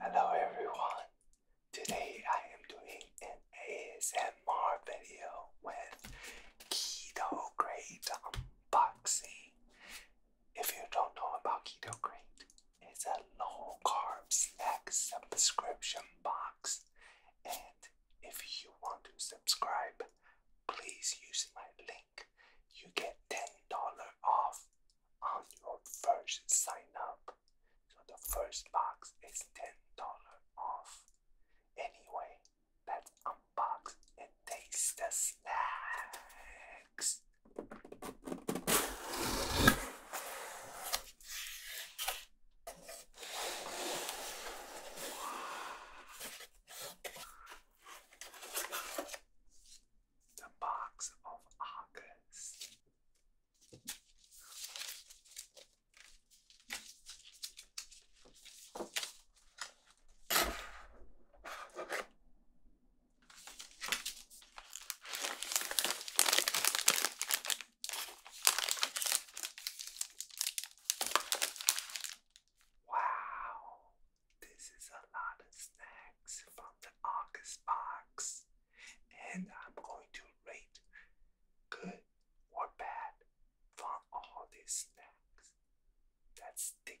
Hello everyone. Today I am doing an ASMR video with Keto Crate unboxing. If you don't know about Keto Crate, it's a low carb snack subscription box. And if you want to subscribe, please use my link. You get $10 off on your first sign up. So the first box is $10 off. Anyway, let's unbox and taste the snacks. The Box of August. Wow, this is a lot of snacks from the August box, and I'm going to rate good or bad for all these snacks. That's us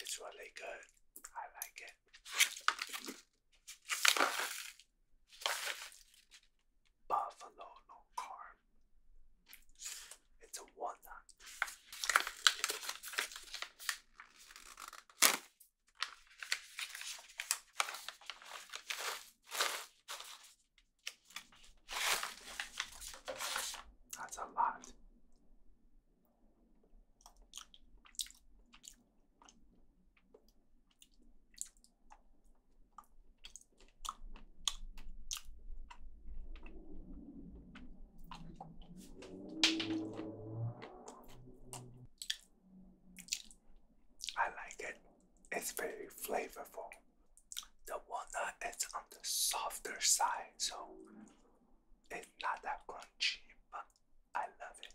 It's really good. I like it. Buffalo no carb. It's a walnut. That's a lot. I like it. It's very flavorful. The walnut is on the softer side, so it's not that crunchy, but I love it.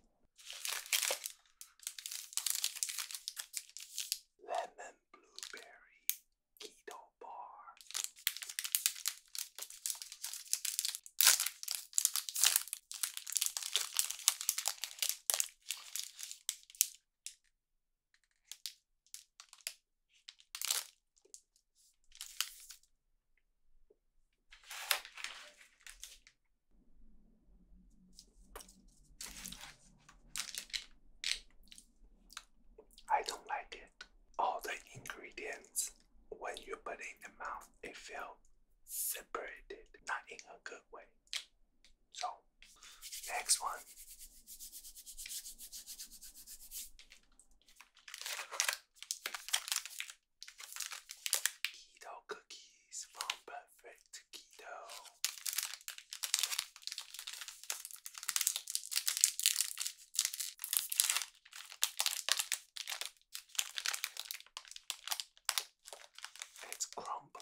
Lemon blueberry keto bar. I don't like it. All the ingredients, when you put it in the mouth, it feels separated, not in a good way. So, next one. Keto cookies from Perfect Keto. It's crumbly.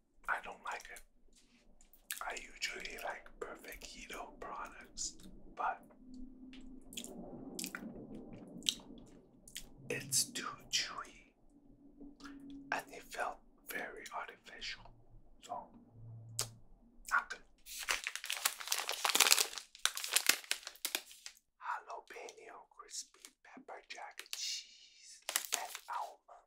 I don't like it. I usually like perfect keto products, but it's too chewy and it felt very artificial. So, not good. Jalapeno crispy pepper jack cheese and almond.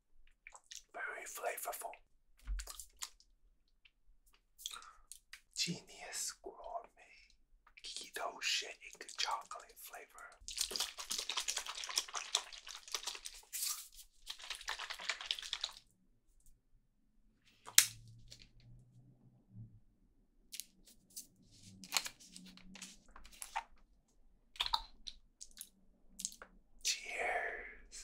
very flavorful. Genius Gourmet Keto Shake Chocolate Flavor. Cheers.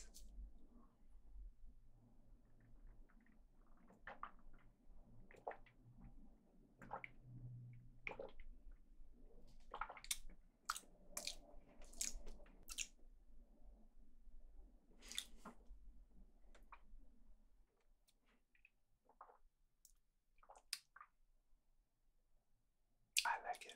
I like it.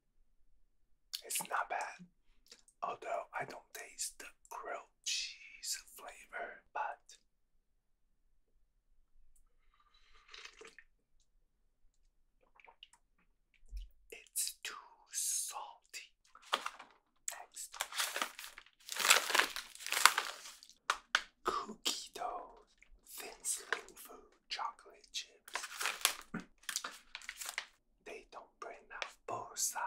It's not bad. Although I don't taste the grilled cheese flavor, but it's too salty. Next, cookie dough, thin slim food, chocolate chips they don't bring out bullseye.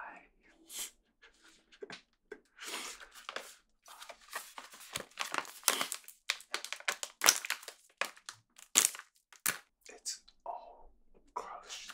it's all crushed.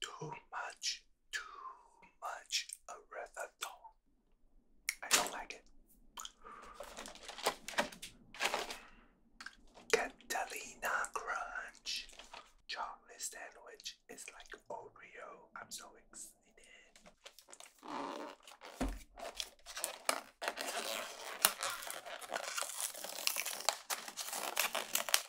Too much, too much erythritol. I don't like it. Catalina Crunch chocolate sandwich is like Oreo. I'm so excited.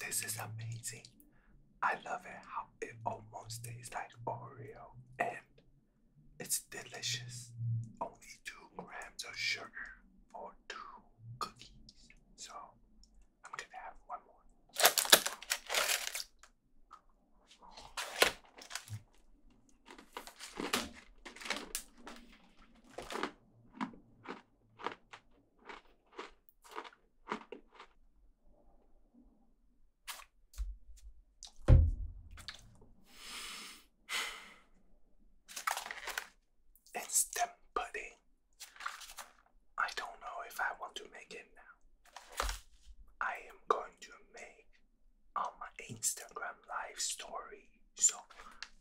This is amazing. I love it how it almost tastes like Oreo and it's delicious. Only two grams of sugar for two cookies. So I'm gonna have one more. Instant pudding. I don't know if I want to make it now. I am going to make on my Instagram live story. So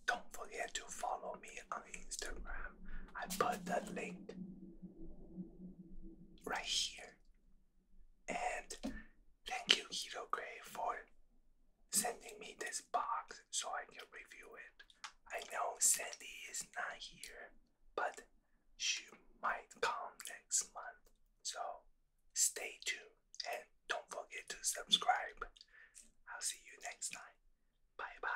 don't forget to follow me on Instagram. I put the link right here. And thank you, Hero Gray, for sending me this box so I can review it. I know Sandy is not here, but she might come next month. So stay tuned and don't forget to subscribe. I'll see you next time. Bye bye.